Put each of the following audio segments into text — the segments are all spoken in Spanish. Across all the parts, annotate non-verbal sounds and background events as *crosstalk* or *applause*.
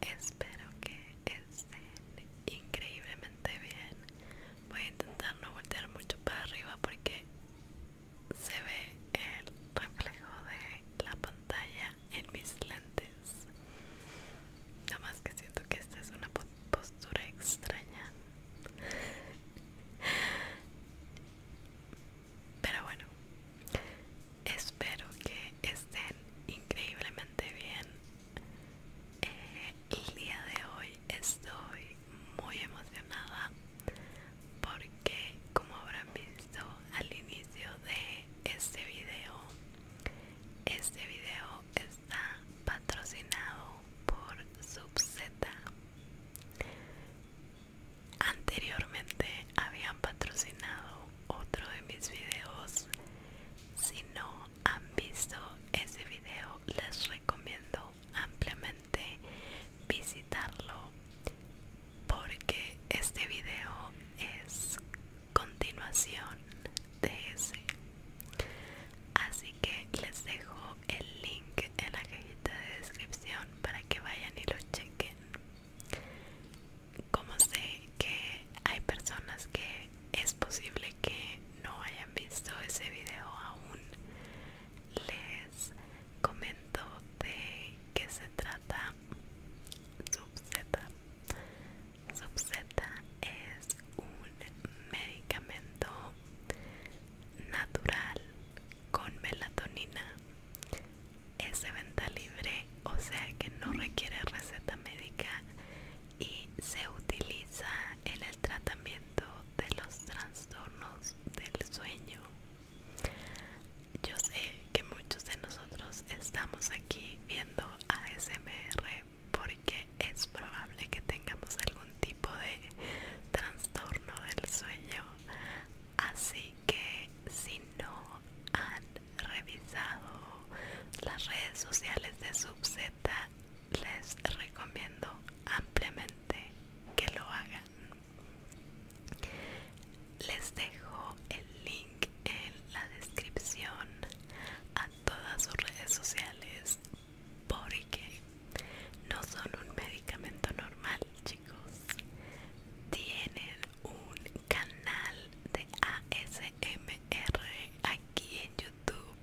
Espero que estén increíblemente bien. Voy a intentar no voltear mucho para arriba porque se ve el reflejo de la pantalla en mis lentes. Nada más que siento que esta es una postura extraña. Pero bueno, espero que estén increíblemente bien. Eh, el día de hoy estoy muy emocionada porque, como habrán visto al inicio de este video, este video está patrocinado por Subzeta Anteriormente habían patrocinado otro de mis videos. Si no han visto ese video, les recomiendo ampliamente visitarlo porque este video es continuación de ese. Así que les dejo el link en la cajita de descripción para que vayan y lo chequen como sé que hay personas que es posible que no hayan visto ese video aún les comento de qué se trata subzeta subzeta es un medicamento natural con melatonina es de venta libre, o sea que no requiere receta médica y se utiliza en el tratamiento de los trastornos del sueño. Yo sé que muchos de nosotros estamos aquí viendo ASMR porque es probable que tengamos algún tipo de trastorno del sueño, así que si no han revisado las redes sociales de SubZ, les recomiendo ampliamente que lo hagan. Les dejo el link en la descripción a todas sus redes sociales porque no son un medicamento normal, chicos tiene tienen un canal de ASMR aquí en YouTube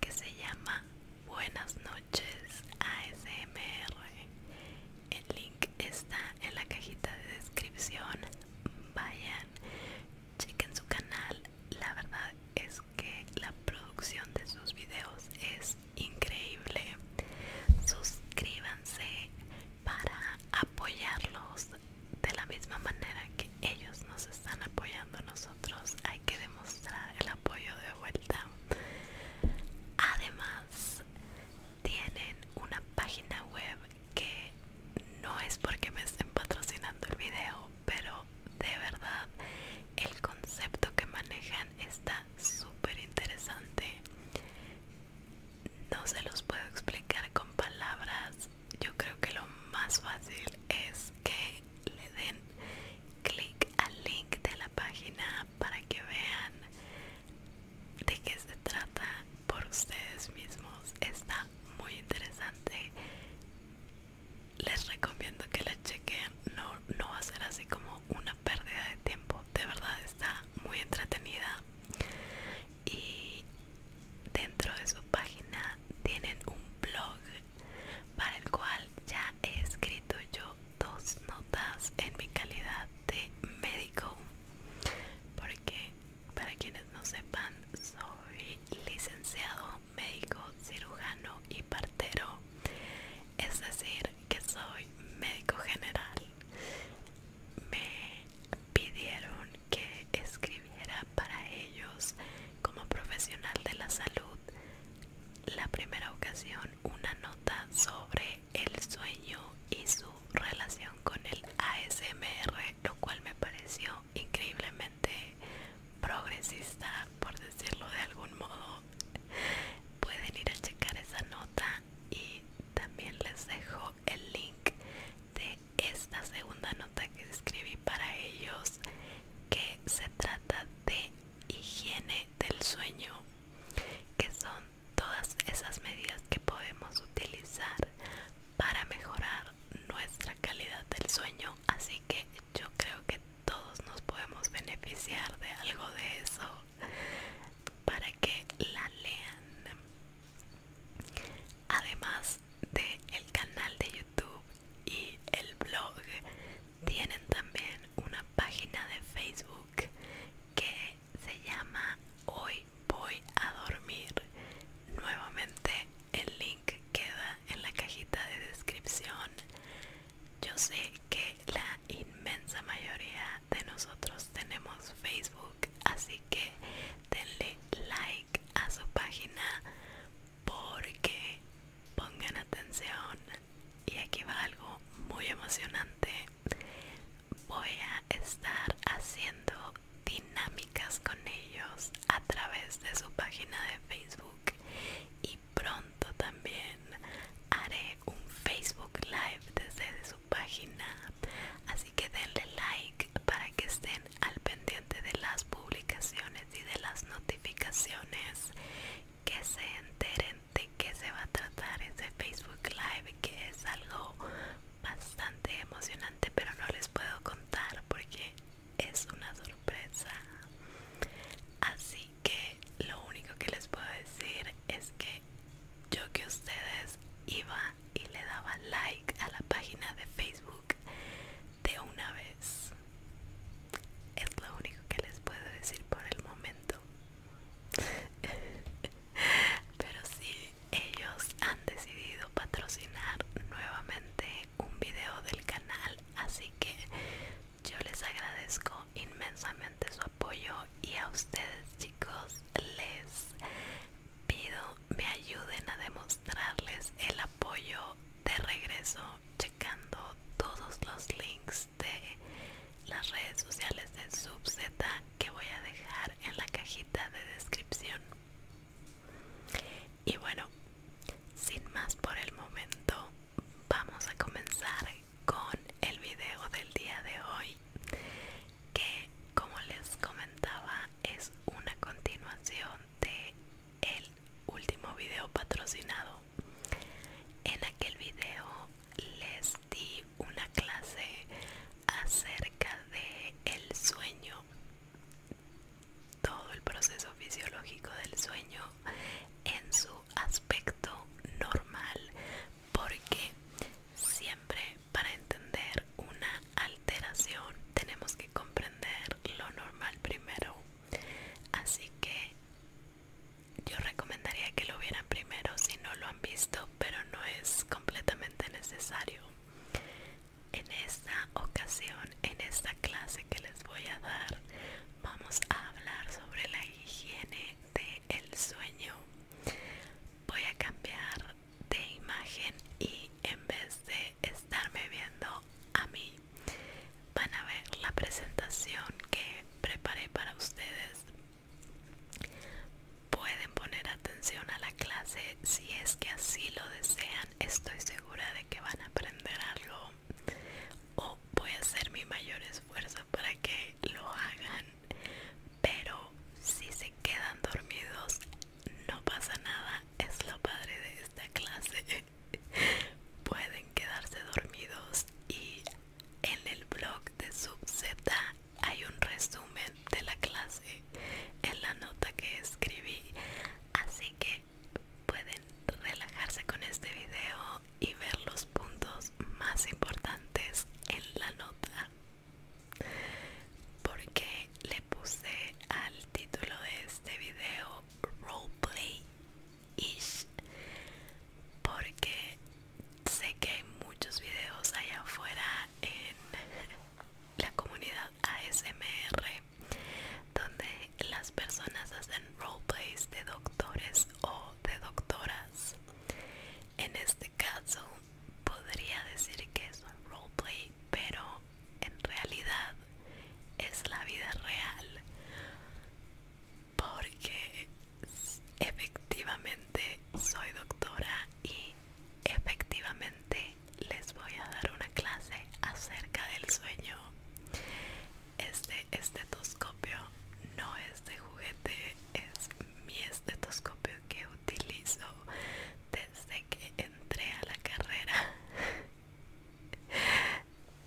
que se llama Buenas noches ASMR. El link está en la cajita de descripción. Vayan, chequen su canal. La verdad es que la producción de sus videos es increíble. Suscríbanse para apoyarlos de la misma manera que ellos nos están apoyando nosotros hay que demostrar el apoyo de vuelta además tienen una página web que no es porque me estén patrocinando el video pero de verdad el concepto que manejan está súper interesante no se los puedo explicar con palabras yo creo que lo más fácil es que le den clic al link de la página para que vean de qué se trata por ustedes mismos está muy interesante les recomiendo que la chequen no, no va a ser así como una pérdida de tiempo de verdad está muy entretenida y dentro de su página tienen un blog para el cual ya he escrito yo dos notas en mi calidad de médico porque para quienes no sepan soy licenciado médico cirujano y partero es decir que soy médico general me pidieron que escribiera para ellos como profesional de la salud la primera ocasión una nota sobre el sueño y su relación con el ASMR, lo cual me pareció increíblemente progresista, por decirlo de algún modo. Pueden ir a checar esa nota y también les dejo el link de esta segunda nota que escribí para ellos que se trata de higiene del sueño que son todas esas medidas que podemos utilizar para mejorar nuestra calidad del sueño así que yo creo que todos nos podemos beneficiar de algo de eso para que la lean además de el canal de youtube y el blog tienen también una página de facebook que se llama hoy voy a dormir nuevamente el link queda en la cajita de descripción yo sé que la inmensa mayoría de nosotros tenemos facebook así que denle like a su página porque pongan atención y aquí va algo muy emocionante voy a estar haciendo dinámicas con ellos a través de su página de Facebook y pronto también haré un Facebook Live desde su página que denle like para que estén al pendiente de las publicaciones y de las notificaciones que se enteren de que se va a tratar ese Facebook Live que es algo bastante emocionante pero no les puedo contar porque es una sorpresa así que lo único que les puedo decir es que yo que ustedes iba y le daba like a la página de Facebook de una vez. Es lo único que les puedo decir por el momento. *laughs* Pero sí, ellos han decidido patrocinar nuevamente un video del canal, así que yo les agradezco inmensamente su apoyo y a ustedes chicos les pido me ayuden a demostrarles el apoyo de regreso checando todos los links de las redes sociales de Subz que voy a dejar en la cajita de descripción. Y bueno, sin más por el momento, vamos a comenzar con el video del día de hoy que como les comentaba es una continuación de el último video patrocinado en aquel video les di una clase acerca de el sueño todo el proceso fisiológico del sueño en su aspecto normal porque siempre para entender una alteración tenemos que comprender lo normal primero. Así que yo recomendaría que lo vieran primero si no lo han visto, pero no es completamente necesario. En esta ocasión, en esta clase que les voy a dar, vamos a hablar sobre la higiene del sueño. Voy a cambiar de imagen y en vez de estarme viendo a mí van a ver la presentación que preparé para ustedes pueden poner atención a la clase si es que así lo desean estoy segura de que van a aprender algo o voy a hacer mi mayor esfuerzo para que lo hagan pero si se quedan dormidos no pasa nada es lo padre de esta clase *laughs* pueden quedarse dormidos y en el blog de subz hay un resumen de la clase en la nota que escribí así que pueden relajarse con este video y ver los puntos más importantes en la nota porque le puse al título de este video roleplay ish porque sé que hay muchos videos allá afuera en *laughs* la comunidad ASMR donde las personas hacen roleplays de doctores o de doctoras en este caso podría decir que es un roleplay, pero en realidad es la vida real. Porque efectivamente soy doctora y efectivamente les voy a dar una clase acerca del sueño. Este estetoscopio no es de juguete, es mi estetoscopio que utilizo desde que entré a la carrera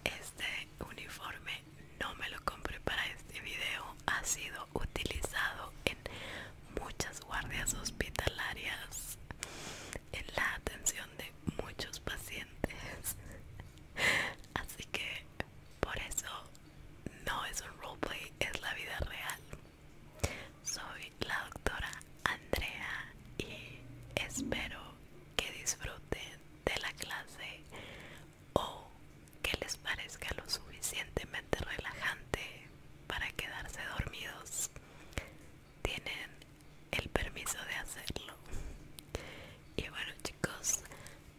este uniforme no me lo compré para este video ha sido utilizado en muchas guardias hospitalarias en la atención de muchos pacientes así que por eso no es un roleplay es la vida real soy la doctora Andrea y espero que disfruten de la clase o que les parezca lo suficientemente relajante para quedarse dormidos. Tienen el permiso de hacerlo. Y bueno chicos,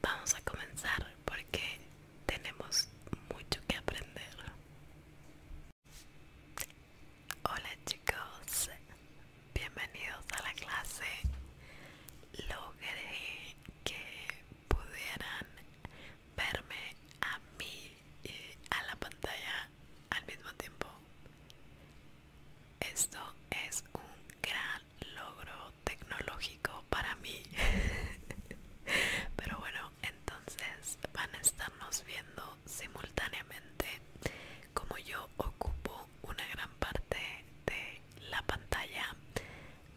vamos a comenzar porque tenemos mucho que aprender. Hola chicos, bienvenidos a la clase. Logré que pudieran verme a mí y a la pantalla al mismo tiempo. Esto es un gran logro tecnológico para mí. *laughs* Pero bueno, entonces van a estarnos viendo simultáneamente como yo ocupo una gran parte de la pantalla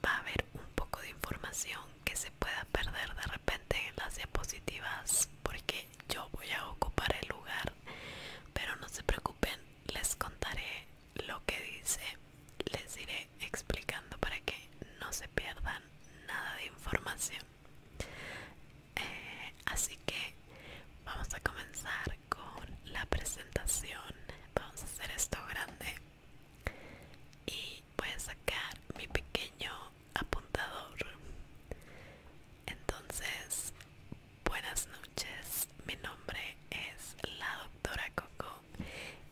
va a haber un poco de información que se pueda perder de repente en las diapositivas porque yo voy a ocupar el lugar pero no se preocupen les contaré lo que dice les iré explicando para que no se pierdan nada de información eh, así que vamos a comenzar con la presentación vamos a hacer esto grande y voy a sacar mi pequeño apuntador entonces buenas noches mi nombre es la doctora coco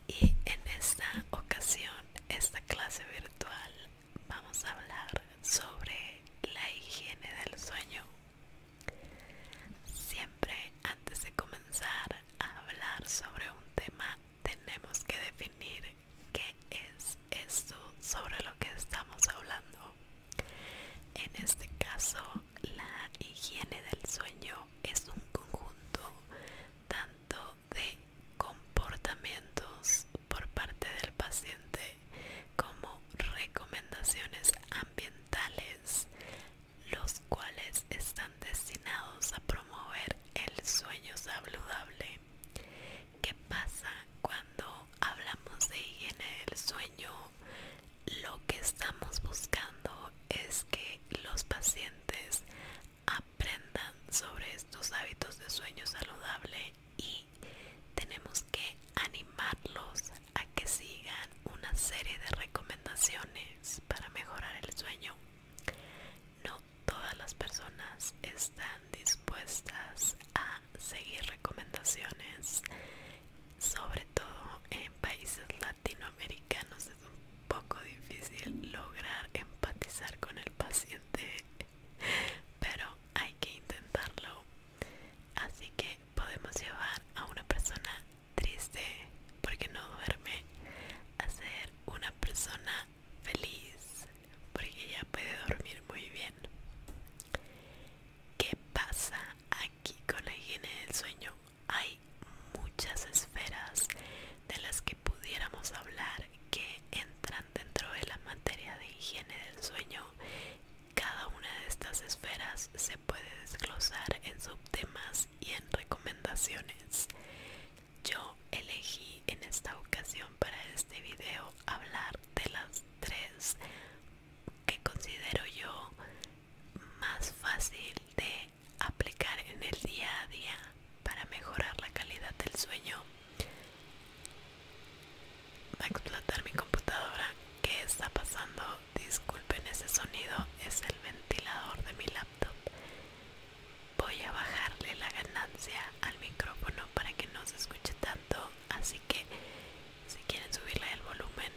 y en esta ocasión esta clase virtual vamos a hablar sobre la higiene del sueño. Siempre antes de comenzar a hablar sobre un tema tenemos que definir qué es esto sobre lo que estamos hablando. En este caso, la higiene del sueño es un conjunto tanto de comportamientos por parte del paciente como recomendaciones ambientales, los cuales están destinados a promover el sueño saludable. ¿Qué pasa cuando hablamos de higiene del sueño? Lo que estamos buscando es que los pacientes aprendan sobre estos hábitos de sueño saludable y tenemos que animarlos a que sigan una serie de recomendaciones para mejorar el sueño. No todas las personas están dispuestas a seguir recomendaciones, sobre todo en países latinoamericanos es un poco difícil lograr empatizar con el paciente pero hay que intentarlo así que podemos llevar a una persona triste porque no duerme a ser una persona feliz porque ella puede dormir muy bien ¿Qué pasa aquí con la higiene del sueño? Hay muchas esferas de las que pudiéramos hablar que entran dentro de la materia de higiene del sueño, cada una de estas esferas se puede desglosar en subtemas y en recomendaciones. Yo elegí en esta ocasión para este video hablar de las tres que considero yo más fácil de aplicar en el día a día para mejorar la calidad del sueño va a explotar mi computadora ¿qué está pasando? disculpen ese sonido es el ventilador de mi laptop voy a bajarle la ganancia al micrófono para que no se escuche tanto así que si quieren subirle el volumen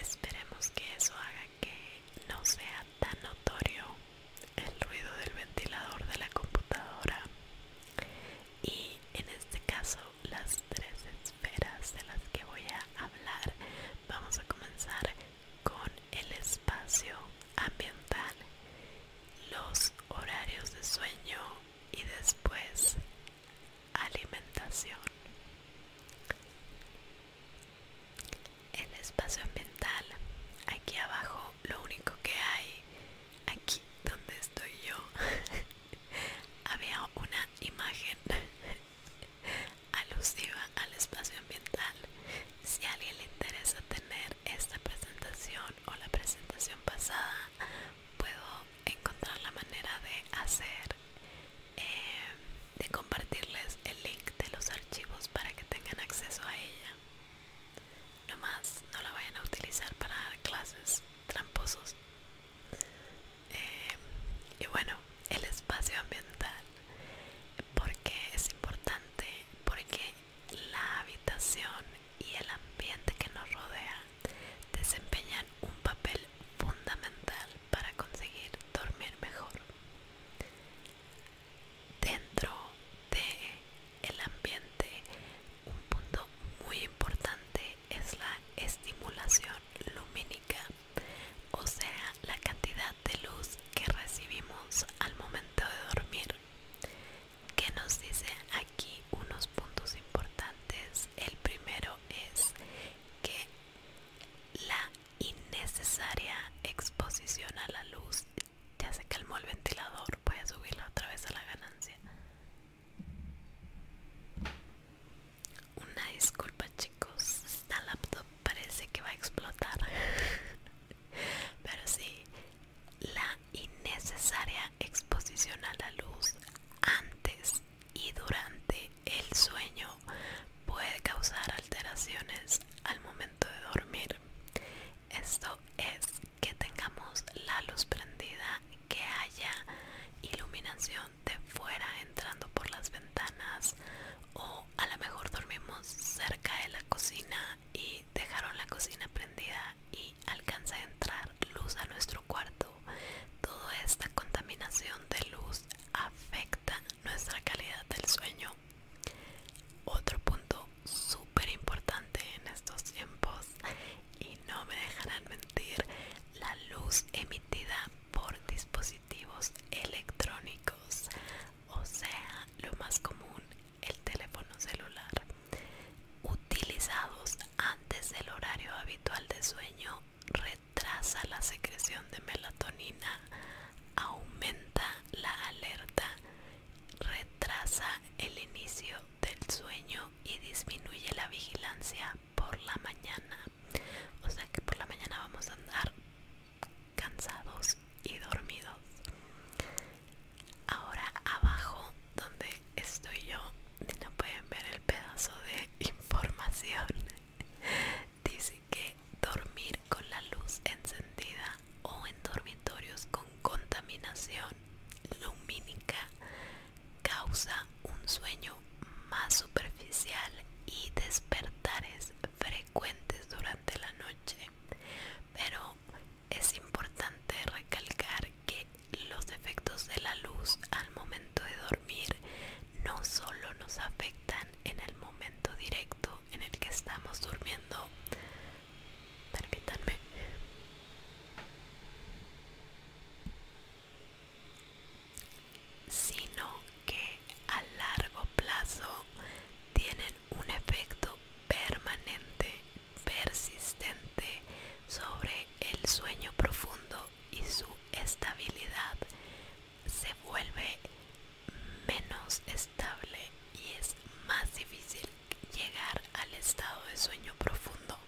Esperemos que eso haga que no sea tan notorio el ruido del ventilador de la computadora y en este caso las tres esferas de las que voy a hablar vamos a comenzar con el espacio ambiental los horarios de sueño y después alimentación. El espacio ambiental, aquí abajo, lo único que hay, aquí donde estoy yo, *laughs* había una imagen *laughs* alusiva al espacio ambiental. Si a alguien le interesa tener esta presentación o la presentación pasada, puedo encontrar la manera de hacer eh, de compartirles el link de los archivos para que tengan acceso a ella. más, no la vayan a utilizar para dar clases tramposos. Eh, y bueno, el espacio ambiental, porque es importante, porque la habitación y el ambiente que nos rodea desempeñan un papel fundamental para conseguir dormir mejor dentro de el ambiente un punto muy importante es la estimulación lumínica o sea la cantidad de luz que recibimos al momento de dormir que nos dice aquí unos puntos importantes el primero es que la innecesaria exposición a la luz ya se calmó el ventilador. Voy a subirla otra vez a la ganancia. Una disculpa, chicos. Esta laptop parece que va a explotar. *laughs* Pero sí, la innecesaria exposición a la luz antes y durante el sueño puede causar alteraciones al momento de dormir. Esto es que tengamos la luz prendida, que haya iluminación de fuera entrando por las ventanas o a lo mejor dormimos cerca de la cocina y dejaron la cocina prendida y alcanza a entrar luz a nuestro cuarto. Toda esta contaminación de luz afecta nuestra calidad del sueño. Otro punto súper importante en estos tiempos, y no me dejarán mentir, la luz emitida por dispositivos electrónicos, o sea, lo más común, el teléfono celular, utilizados antes del horario habitual de sueño retrasa la secreción de melatonina, aumenta la alerta, retrasa el inicio del sueño y disminuye la vigilancia por la mañana. O sea que por la mañana vamos a andar cansados y dormidos. Ahora abajo donde estoy yo no pueden ver el pedazo de *laughs* información dice que dormir con la luz encendida o en dormitorios con contaminación lumínica causa un sueño más superficial y despertares frecuentes durante la noche pero es importante recalcar que los efectos de la luz al momento de dormir no solo nos afectan están en el momento directo en el que estamos durmiendo. Permítanme. Sino que a largo plazo tienen un efecto permanente, persistente sobre el sueño profundo y su estabilidad se vuelve menos estable y es más difícil llegar al estado de sueño profundo.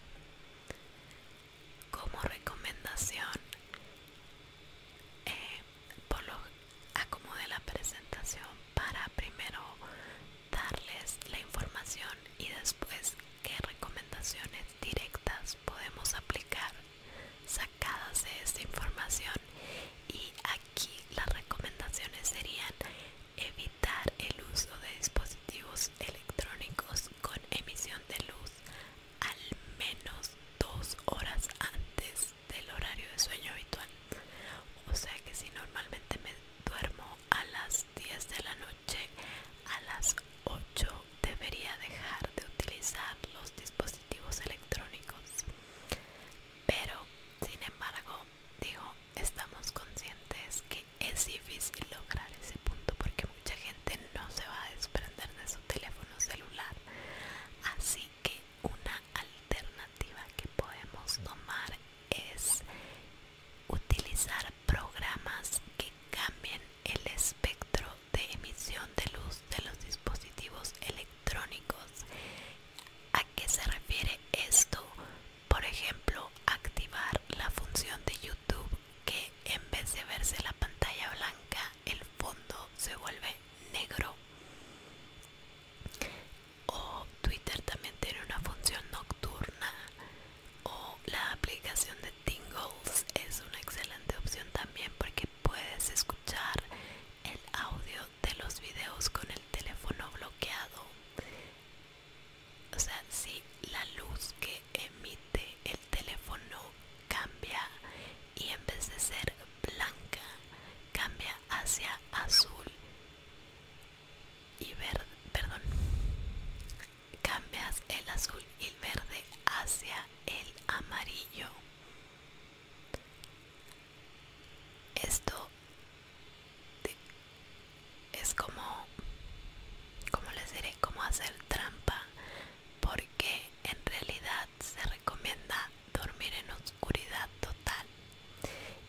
Como recomendación, eh, por lo acomode la presentación para primero darles la información y después qué recomendaciones directas podemos aplicar sacadas de esta información y aquí las recomendaciones serían evitar el uso de dispositivos electrónicos con emisión de luz al menos dos horas antes del horario de sueño habitual o sea que si normalmente me duermo a las 10 de la noche a las 8 debería dejar de utilizar los dispositivos electrónicos. Pero, sin embargo, digo, estamos conscientes que es difícil lograr ese punto porque mucha gente no se va a desprender de su teléfono celular. Así que una alternativa que podemos tomar es utilizar programas que cambien el espectro de emisión de luz de los dispositivos electrónicos. ¿A qué se refiere esto? Por ejemplo, activar la función de YouTube que en vez de verse la pantalla blanca, el fondo se vuelve negro. O Twitter también tiene una función nocturna. O la aplicación de Tingles es una excelente opción también porque puedes escuchar el audio de los videos con el teléfono bloqueado o sea si la luz que emite el teléfono cambia y en vez de ser blanca cambia hacia azul y verde perdón cambias el azul y el verde hacia el amarillo esto es como, como les diré, como hacer trampa, porque en realidad se recomienda dormir en oscuridad total,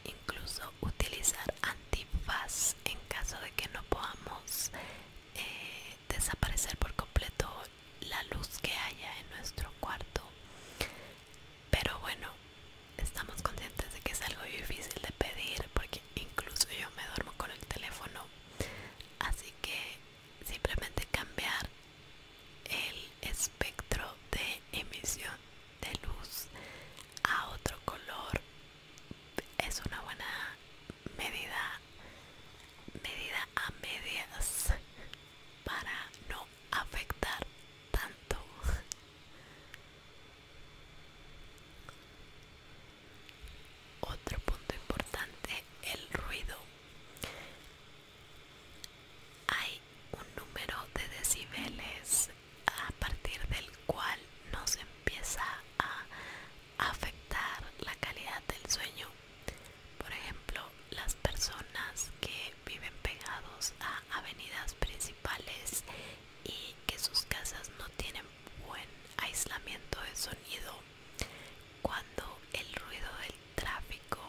incluso utilizar antifaz en caso de que no podamos eh, desaparecer por completo la luz que haya en nuestro cuarto pero bueno estamos conscientes de que es algo difícil de pedir porque incluso yo me duermo con el teléfono así que simplemente cambiar el espectro de emisión de luz a otro color es una buena medida medida a medias para no afectar tanto otro punto importante el ruido hay un número de decibeles a partir del cual nos empieza a afectar la calidad del sueño por ejemplo, las personas que viven pegados a avenidas principales y que sus casas no tienen buen aislamiento de sonido, cuando el ruido del tráfico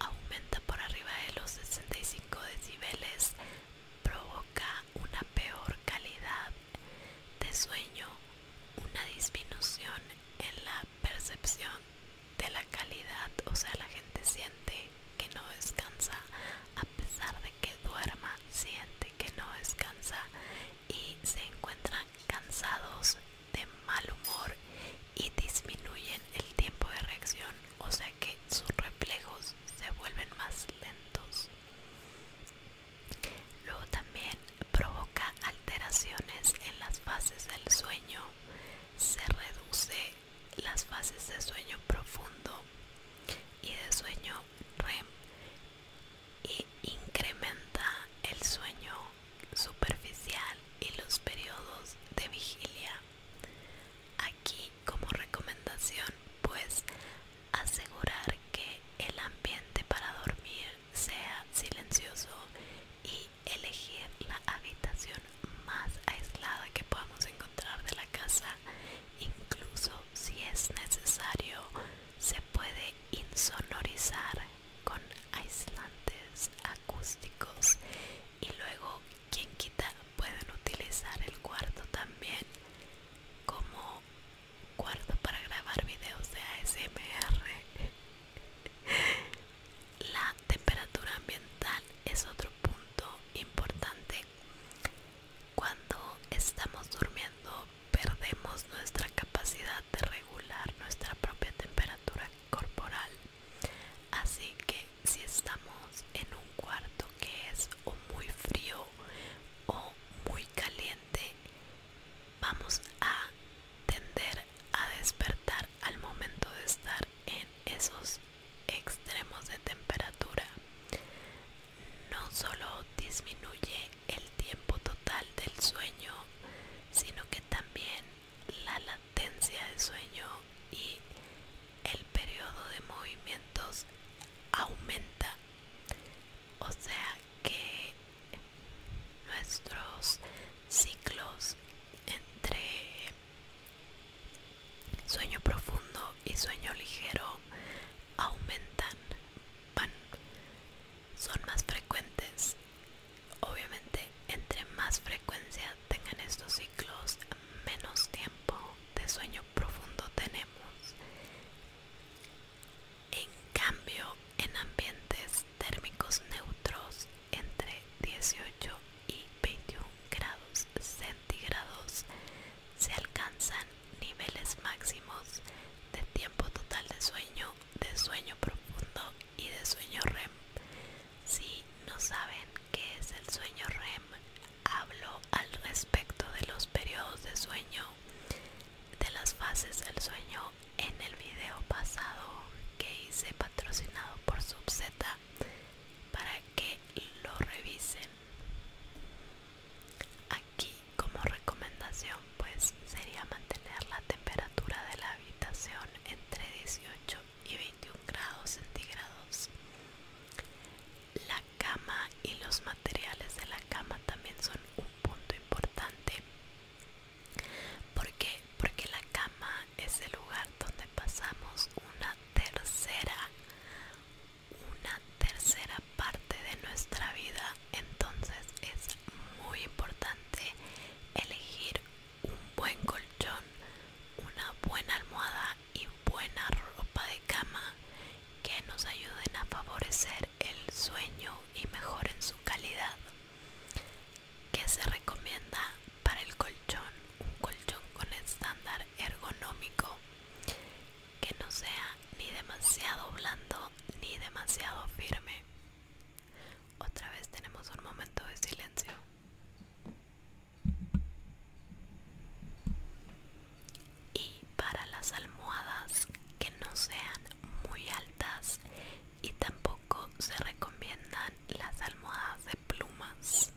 aumenta por arriba de los 65 decibeles, provoca una peor calidad de sueño, una disminución en la percepción de la calidad, o sea, la gente siente que no descansa a pesar de que duerma, siente que no descansa y se encuentran cansados de mal humor y disminuyen el tiempo de reacción, o sea que sus reflejos se vuelven más lentos. Luego también provoca alteraciones en las fases del sueño, se reduce las fases de sueño profundo y de sueño REM y incrementa el sueño superficial y los periodos de vigilia. Aquí como recomendación pues asegurar que el ambiente para dormir sea silencioso y elegir la habitación más aislada que podamos encontrar de la casa. Incluso si es necesario, se puede insonorizar con aislantes acústicos y luego quien quita pueden utilizar el cuarto también como cuarto para grabar videos de ASMR la temperatura ambiental es otro punto importante. Cuando estamos durmiendo perdemos nuestra capacidad de regular nuestra propia temperatura corporal. Así que si estamos en un cuarto que es o muy frío o muy caliente, vamos a tender a despertar al momento de estar en esos extremos de temperatura. No solo disminuye el tiempo total del sueño, sino que también la latencia de sueño y el periodo de movimientos aumenta. O sea que nuestros ciclos entre sueño profundo y sueño ligero aumentan, son más frecuentes. Obviamente, entre más frecuencia tengan estos ciclos, menos tiempo de sueño profundo tenemos. En cambio, en ambientes térmicos neutros, entre 18 y 21 grados centígrados se alcanzan niveles máximos de tiempo total de sueño, de sueño profundo y de sueño REM. Si no saben qué es el sueño REM, hablo al respecto de los periodos de sueño, de las fases del sueño en el video pasado que hice patrocinado por subz para que lo revisen aquí como recomendación pues sería mantener la temperatura de la habitación entre 18 y 21 grados centígrados la cama y los materiales de la cama también son un punto importante porque porque la cama es el lugar donde pasamos una tercera una tercera parte de nuestra vida entonces es muy importante elegir un buen colchón una buena almohada y buena ropa de cama que nos ayuden a favorecer el sueño y mejoren su calidad que se recomienda para el colchón un colchón con estándar ergonómico que no sea ni demasiado blando ni demasiado firme otra vez tenemos un momento de silencio y para las almohadas que no sean muy altas y tampoco se recomiendan las almohadas de plumas.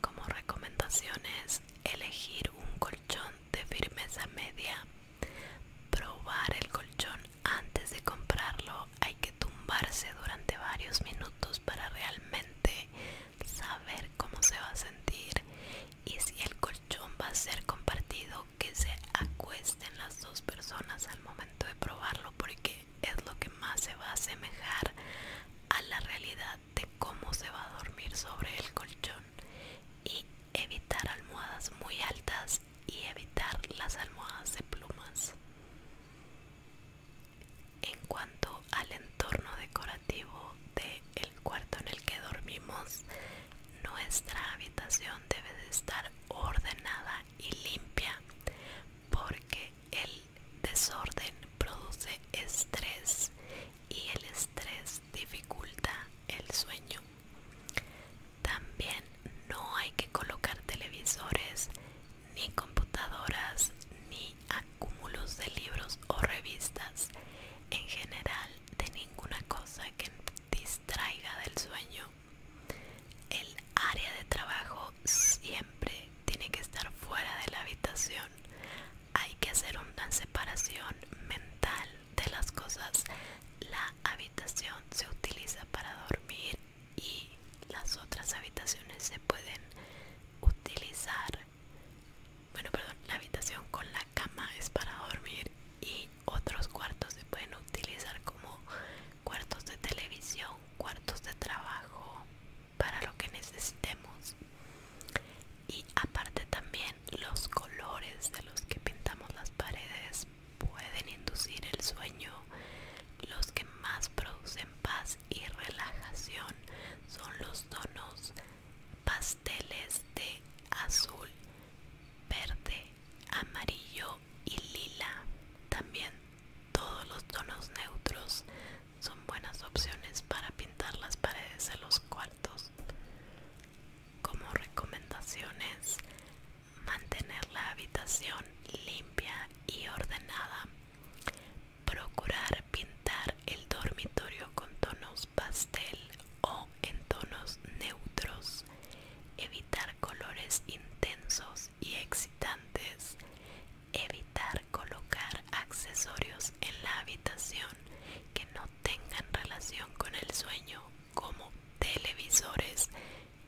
Como recomendaciones, elegir un colchón de firmeza media, probar el colchón antes de comprarlo, hay que tumbarse durante varios minutos para realmente saber cómo se va a sentir y si el colchón va a ser compartido que se acuesten las dos personas al momento de probarlo porque es lo que más se va a asemejar a la realidad de cómo se va a dormir sobre el colchón y evitar almohadas muy altas y evitar las almohadas de plumas. En cuanto al entorno decorativo del el cuarto en el que dormimos, nuestra habitación debe de estar ordenada y limpia porque el desorden produce estrés y el estrés dificulta el sueño. También no hay que colocar televisores ni computadoras ni acúmulos de libros o revistas en general de ninguna cosa que distraiga del sueño el área de trabajo siempre tiene que estar fuera de la habitación. Hay que hacer una separación mental de las cosas. La habitación se utiliza para dormir y las otras habitaciones se pueden utilizar. Bueno, perdón, la habitación con la cama es para dormir y otros cuartos se pueden utilizar como cuartos de televisión, cuartos de trabajo, para lo que necesitemos. Y aparte también los colores de los que pintamos las paredes pueden inducir el sueño. Los que más producen paz y relajación son los tonos pasteles de azul, verde, amarillo y lila. También todos los tonos neutros son buenas opciones para pintar las paredes de los cuartos. Como recomendaciones, mantener la habitación limpia y ordenada. Procurar pintar el dormitorio con tonos pastel o en tonos neutros. Evitar colores intensos y excitantes. Evitar colocar accesorios en la habitación que no tengan relación con el sueño como televisores,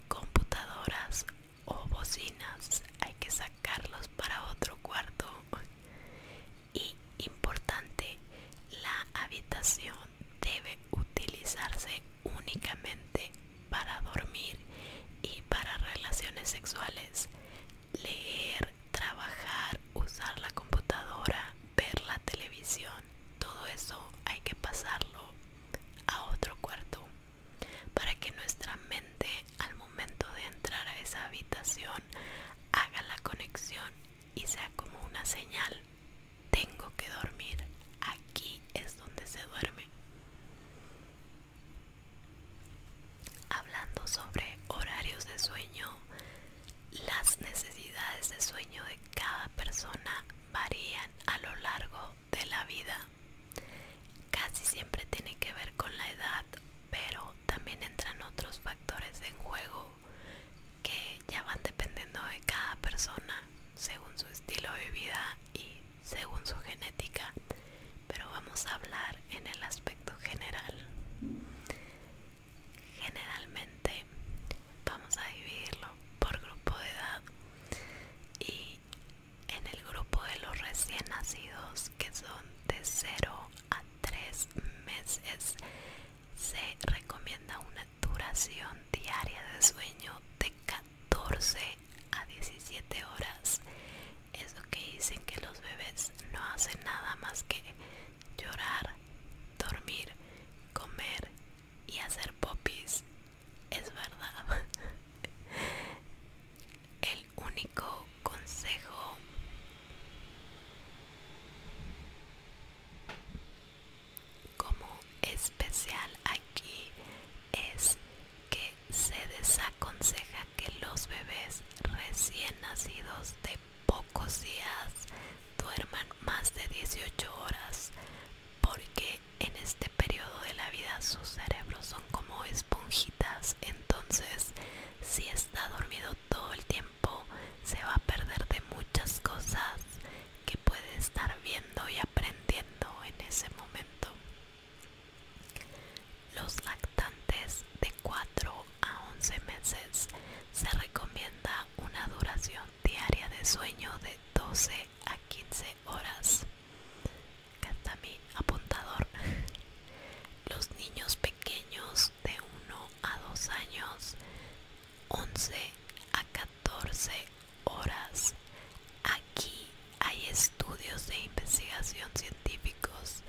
computadoras o bocinas. Hay que sacarlos para otro cuarto. Y importante, la habitación debe utilizarse únicamente para dormir y para relaciones sexuales, leer, trabajar, usar la computadora, ver la televisión, todo eso hay que pasarlo a otro cuarto para que nuestra mente al momento de entrar a esa habitación haga la conexión y sea como una señal. Tengo que dormir. Aquí es donde se duerme. Hablando sobre horarios de sueño, las necesidades de sueño de cada persona varían a lo largo de la vida. Casi siempre tiene que ver con la edad, pero también entran otros factores en juego que ya van dependiendo de cada persona según su estilo de vida y según su genética, pero vamos a hablar en el aspecto general. Generalmente vamos a dividirlo por grupo de edad y en el grupo de los recién nacidos que son de 0 a 3 meses se recomienda una duración diaria de sueño de 14 14 a 17 horas es lo que dicen que los bebés no hacen nada más que llorar, dormir, comer y hacer popis. Es verdad. *laughs* El único consejo como especial aquí es que se desaconseja que los bebés recién nacidos de pocos días duerman más de 18 horas porque en este periodo de la vida sus cerebros son como esponjitas entonces si está dormido todo el tiempo se va a perder de muchas cosas que puede estar viendo y aprendiendo en ese momento. Los lactantes de 4 a 11 meses se recomienda una duración diaria de sueño de 12 a 15 horas. está mi apuntador. Los niños pequeños de 1 a 2 años, 11 a 14 horas. Aquí hay estudios de investigación científicos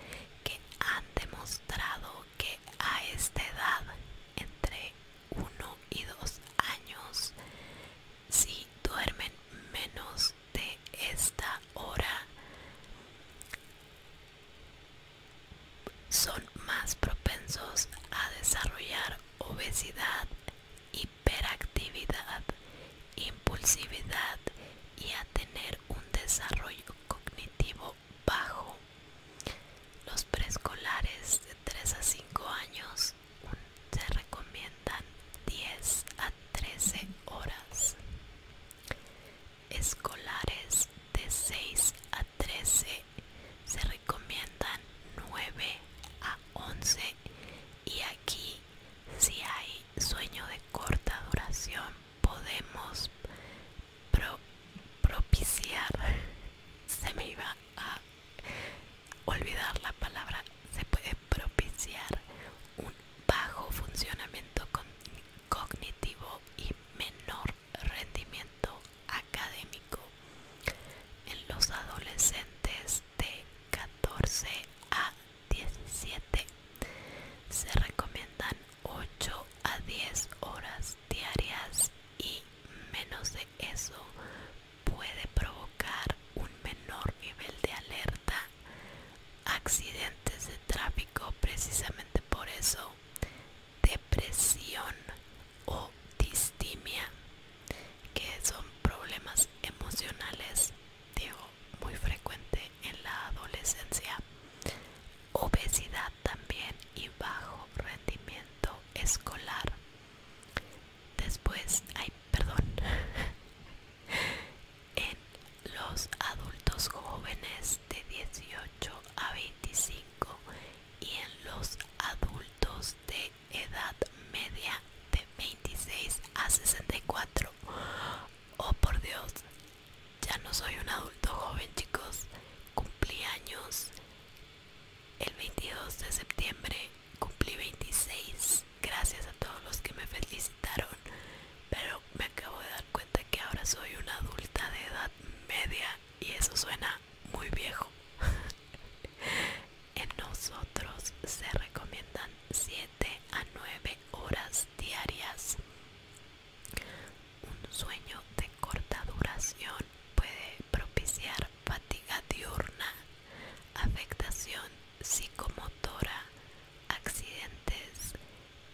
que han demostrado que a esta edad, entre 1 y 2 años, si duermen menos de esta hora, son más propensos a desarrollar obesidad, y hiperactividad, impulsividad y a tener un desarrollo cognitivo bajo. Los preescolares de 3 a 5 años se recomiendan 10 a 13 horas. Escolares de 6 a 13 se recomiendan 9 a 11 y aquí si hay sueño de corta duración podemos propiciar *laughs* se me iba a olvidar la palabra se puede propiciar un bajo funcionamiento cognitivo y menor rendimiento académico en los adolescentes de 14 a 17 se recomiendan 8 a 10 horas diarias y menos de eso puede provocar un menor nivel de alerta accidentes de tráfico precisamente por eso depresión o distimia que son problemas emocionales, digo, muy frecuente en la adolescencia, obesidad también y bajo rendimiento escolar. Después, ay, perdón, *laughs* en los adultos jóvenes de 18 a 25 y en los adultos de edad media de 26 a 64. Oh por Dios, ya no soy un adulto joven chicos. Cumplí años el 22 de septiembre, cumplí 26. Gracias a todos los que me felicitaron. Pero me acabo de dar cuenta que ahora soy una adulta de edad media y eso suena muy viejo. *laughs* En nosotros se recomiendan 7 a 9 horas diarias. Un sueño de corta duración puede propiciar fatiga diurna, afectación psicomotora, accidentes,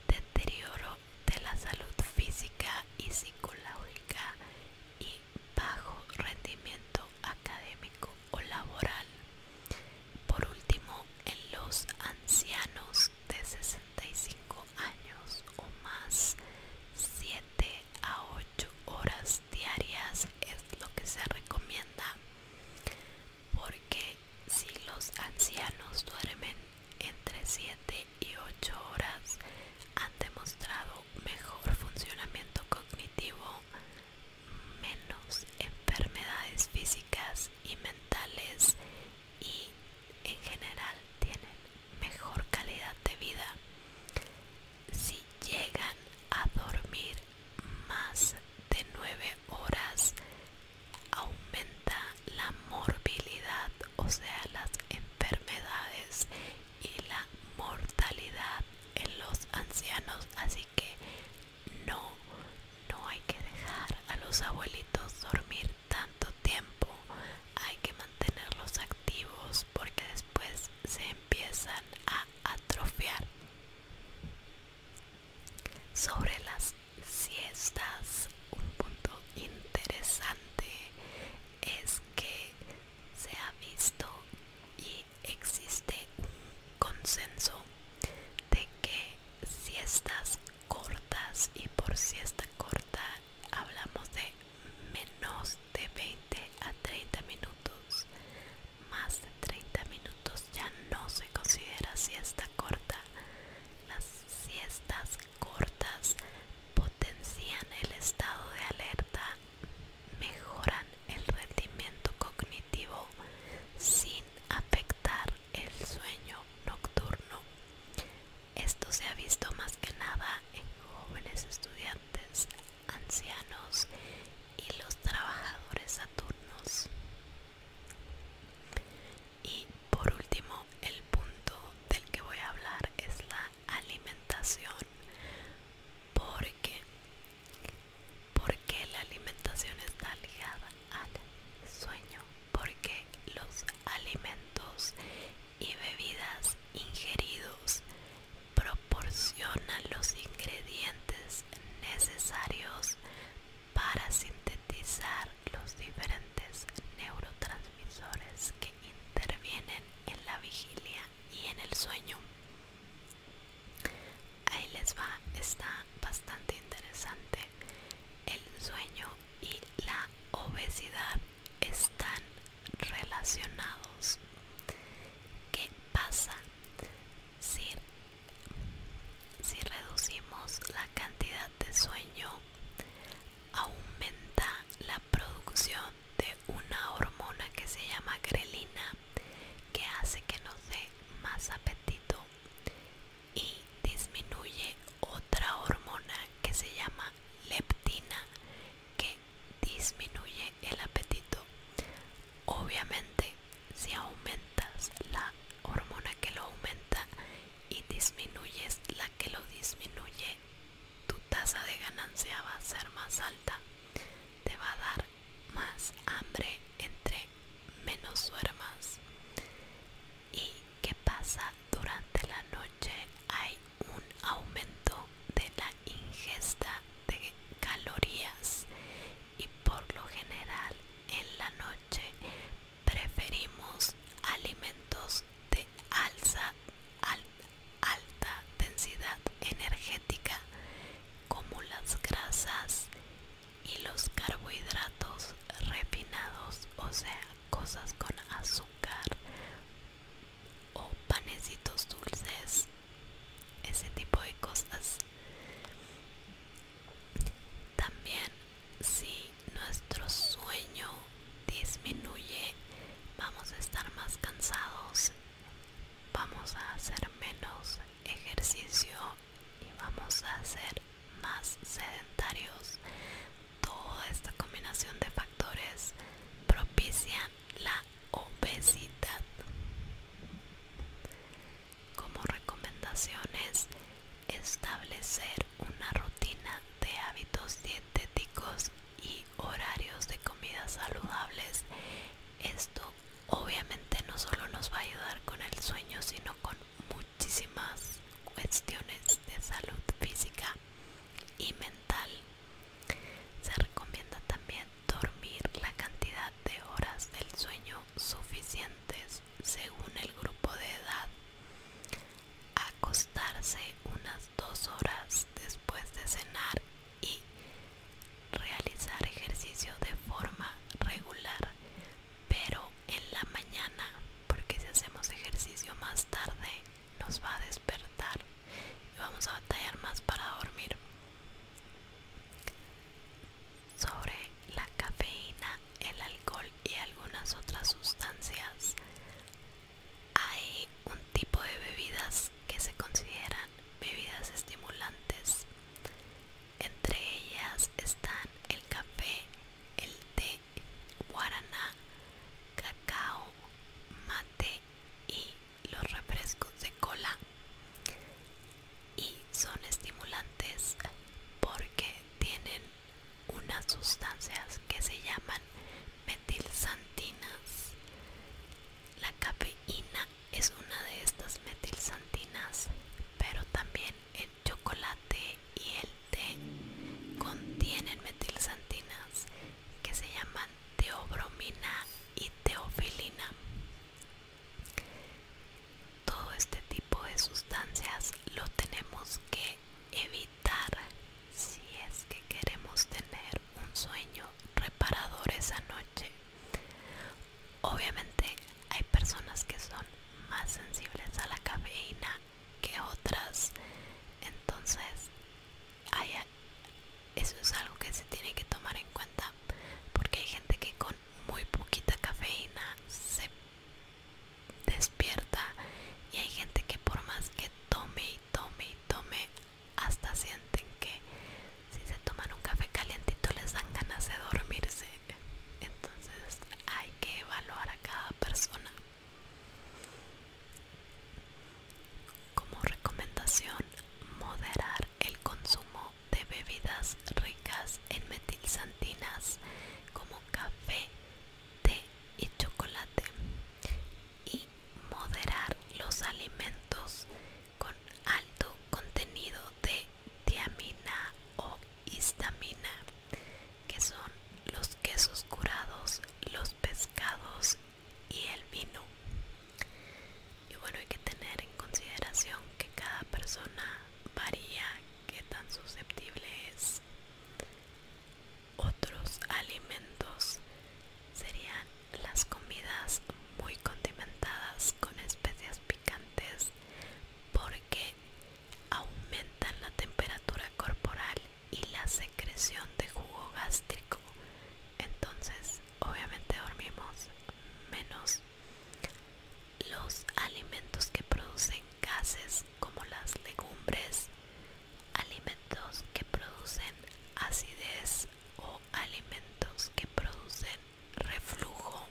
deterioro de la salud física y psicológica y bajo rendimiento académico o laboral. Por último, en los ancianos de 65 años o más, 7 a 8 horas diarias es lo que se recomienda porque si los ancianos duermen entre 7 y 8 horas han demostrado mejor funcionamiento cognitivo, menos enfermedades físicas y mentales y en general tienen mejor calidad de vida si llegan a dormir más de 9 horas aumenta la morbilidad o sea las enfermedades y la mortalidad en los ancianos así que no, no hay que dejar a los abuelitos dormir tanto tiempo. Hay que mantenerlos activos porque después se empiezan a atrofiar. Sobre las siestas, un punto interesante es que se ha visto y existe un consenso de que siestas cortas y por siesta corta hablamos de menos de 20 a 30 minutos más de 30 minutos ya no se considera siesta corta las siestas cortas potencian el estado de alerta mejoran el rendimiento cognitivo sin afectar el sueño nocturno. Esto se ha visto más que nada en jóvenes estudiantes, ancianos y los trabajadores Saturnos Y por último, el punto del que voy a hablar es la alimentación, porque porque la alimentación está ligada al sueño, porque los alimentos y bebidas ingeridos proporcionan los ingredientes necesarios para sintetizar los diferentes neurotransmisores que intervienen en la vigilia y en el sueño. Ahí les va, está bastante interesante. El sueño y la obesidad están relacionados. ¿Qué pasa si, reducimos la cantidad de sueño? Aumenta la producción de una hormona que se llama grelina que hace que nos dé más apetito y disminuye otra hormona que se llama leptina que disminuye el apetito obviamente si aumentas la hormona que lo aumenta y disminuyes la que lo disminuye tu tasa de ganancia va a ser más alta te va a dar más hambre entre menos duermas y qué pasa durante la noche hay un aumento de la ingesta de calorías y por lo general en la noche preferimos alimentos de alza, alta densidad energética como las grasas y los carbohidratos refinados, o sea, cosas con azúcar o panecitos dulces, ese tipo de cosas. También si nuestro sueño disminuye, vamos a estar más cansados, vamos a hacer menos ejercicio y vamos a ser más sedentarios. Toda esta combinación de factores propician la obesidad. Como recomendaciones, establecer una rutina de hábitos dietéticos y horarios de comidas saludables esto obviamente no solo nos va a ayudar con el sueño, sino con muchísimas cuestiones de salud física y mental. Se recomienda también dormir la cantidad de horas del sueño suficientes según el grupo de edad. Acostarse unas dos horas después de cenar y realizar ejercicio de forma regular, pero en la mañana, porque si hacemos ejercicio más tarde nos va a despertar y vamos a batallar más para dormir. Sobre la cafeína, el alcohol y algunas otras sustancias, hay un tipo de bebidas que se consideran bebidas estimulantes entre ellas están el café, el té, guaraná, cacao, mate y los refrescos de cola. Y son estimulantes porque tienen unas sustancias que se llaman metilsantinas. La cafeína es una de estas metilsantinas, pero también el chocolate y el té contienen metilsantinas que se llaman teobromina y teofilina. Todo este tipo de sustancias lo tenemos que evitar si es que queremos tener un sueño reparador esa noche Obviamente hay personas que son más sensibles a la cafeína que otras, entonces eso es algo que se tiene que tomar en cuenta porque hay gente que con muy poquita cafeína se despierta y hay gente que por más que tome y tome y tome hasta sienten que si se toman un café calientito les dan ganas de dormirse entonces hay que evaluar a cada persona como recomendación moderar el consumo de bebidas ricas en metilsantinas como café té y chocolate y moderar los alimentos con alto contenido de tiamina o histamina, que son los quesos curados, los pescados y el vino. Y bueno, hay que tener en consideración que cada persona varía qué tan susceptible es. Otros alimentos serían las comidas muy condimentadas con especias picantes porque aumentan la temperatura corporal y la secreción de jugo gástrico entonces obviamente dormimos menos los alimentos que producen gases como las legumbres alimentos que producen acidez o alimentos que producen reflujo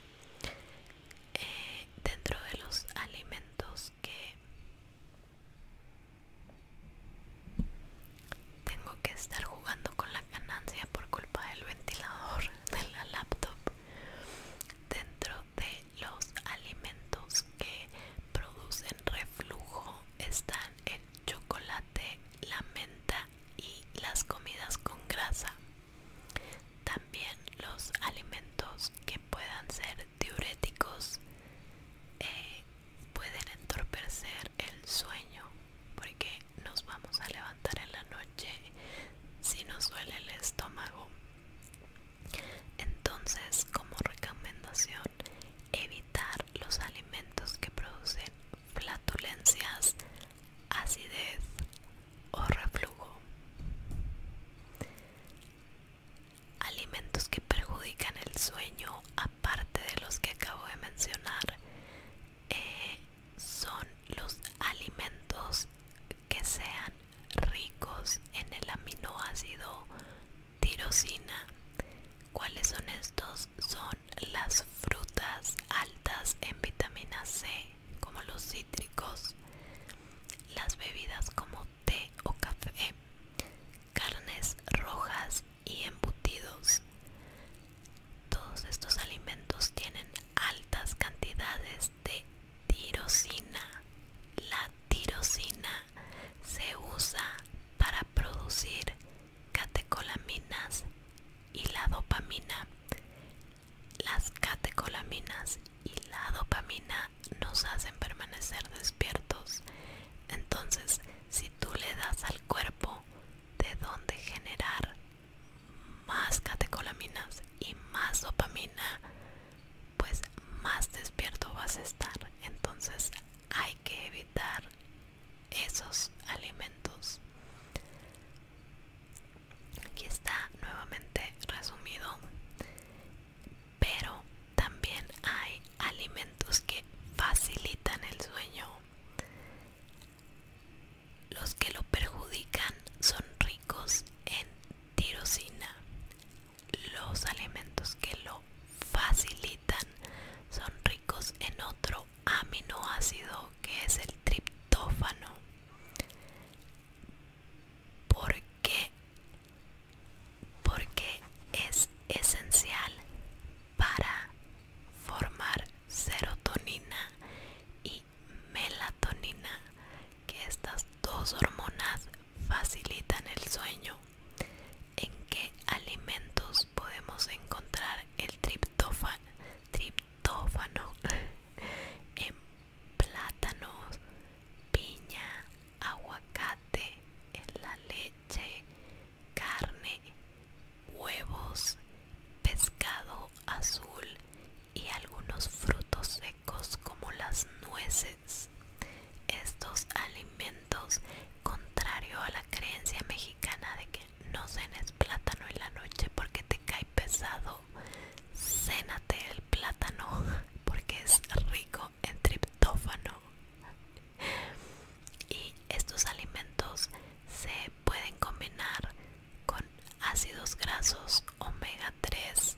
eh, dentro de los alimentos que tengo que estar jugando con la ganancia por culpa del ventilador *laughs* de la laptop dentro de los alimentos que producen reflujo están el chocolate la menta y las comidas con grasa también los alimentos que puedan ser diuréticos eh, pueden entorpecer el sueño porque nos vamos a levantar en la noche si nos duele el estómago. Entonces, como recomendación, evitar los alimentos que producen flatulencias, acidez o reflujo. Alimentos que perjudican el sueño, aparte de los que acabo de mencionar, eh, son los alimentos que sean ricos en el aminoácido tirosina. ¿Cuáles son estos? Son las frutas altas en vitamina C, como los las bebidas como té o café, carnes rojas y embutidos. Todos estos alimentos tienen altas cantidades de tirosina. La tirosina se usa para producir catecolaminas y la dopamina las catecolaminas y la dopamina nos hacen permanecer despiertos. Entonces, si tú le das al cuerpo de dónde generar más catecolaminas y más dopamina, pues más despierto vas a estar. Entonces, hay que evitar esos alimentos. Aquí está nuevamente resumido, pero también hay alimentos que facilitan el sueño. Los que lo perjudican son ricos en tirosina. Los alimentos que lo facilitan son ricos en otro aminoácido que es el triptófano. Por porque porque es esencial para formar serotonina y melatonina que estas dos hormonas facilitan el sueño en qué alimentos podemos encontrar el triptófano *laughs* plátanos, piña, aguacate, la leche, carne, huevos, pescado azul y algunos frutos secos como las nueces. Estos alimentos, contrario a la creencia mexicana de que no cenes plátano en la noche porque te cae pesado cénate el plátano porque es rico en triptófano y estos alimentos se pueden combinar con ácidos grasos omega 3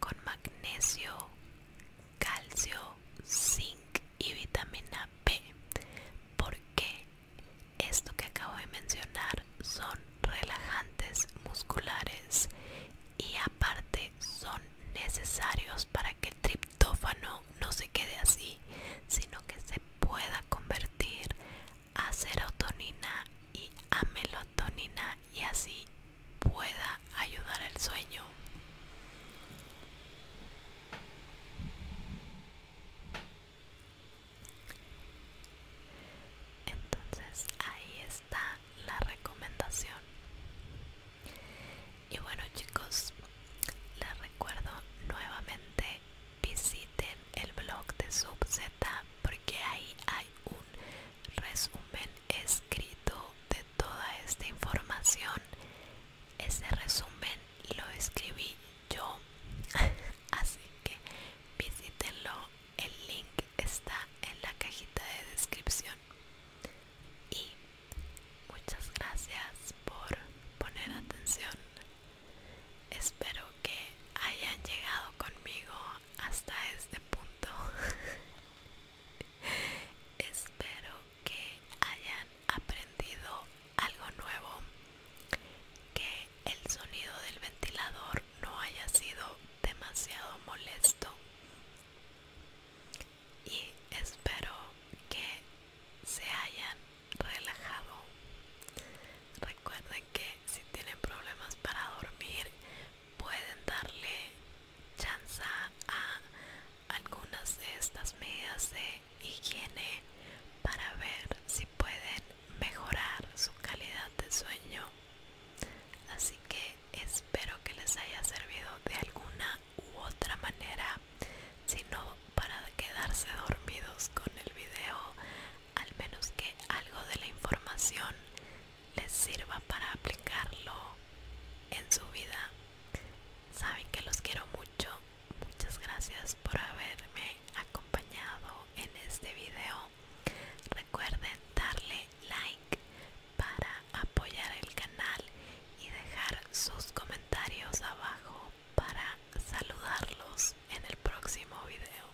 con magnesio calcio zinc y vitamina b porque esto que acabo de mencionar son relajantes musculares y aparte son necesarios para que el triptófano no se quede así, sino que se pueda convertir a serotonina y a melatonina y así pueda ayudar al sueño entonces ahí está la recomendación y bueno chicos les recuerdo nuevamente visiten el blog de subz porque ahí hay un resumen escrito de toda esta información ese resumen lo escribí yo *laughs* así que visítenlo el link está en la cajita de descripción. Y muchas gracias por poner atención. Espero que hayan llegado conmigo hasta este punto. *laughs* Espero que hayan aprendido algo nuevo, que el sonido del ventilador no haya sido demasiado molesto y espero que se hayan relajado recuerden que si tienen problemas para dormir pueden darle chance a algunas de estas medidas de higiene para ver si pueden mejorar su calidad de sueño así que espero que les haya servido de alguna u otra manera si no para quedarse dormidos con el video al menos que algo de la información les sirva para aplicarlo en su vida saben que los quiero mucho muchas gracias por haberme acompañado en este video Recuerden darle like para apoyar el canal y dejar sus comentarios abajo para saludarlos en el próximo video.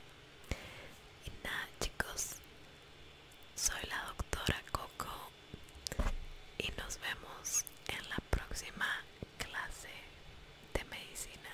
Y nada chicos, soy la doctora Coco y nos vemos en la próxima clase de medicina.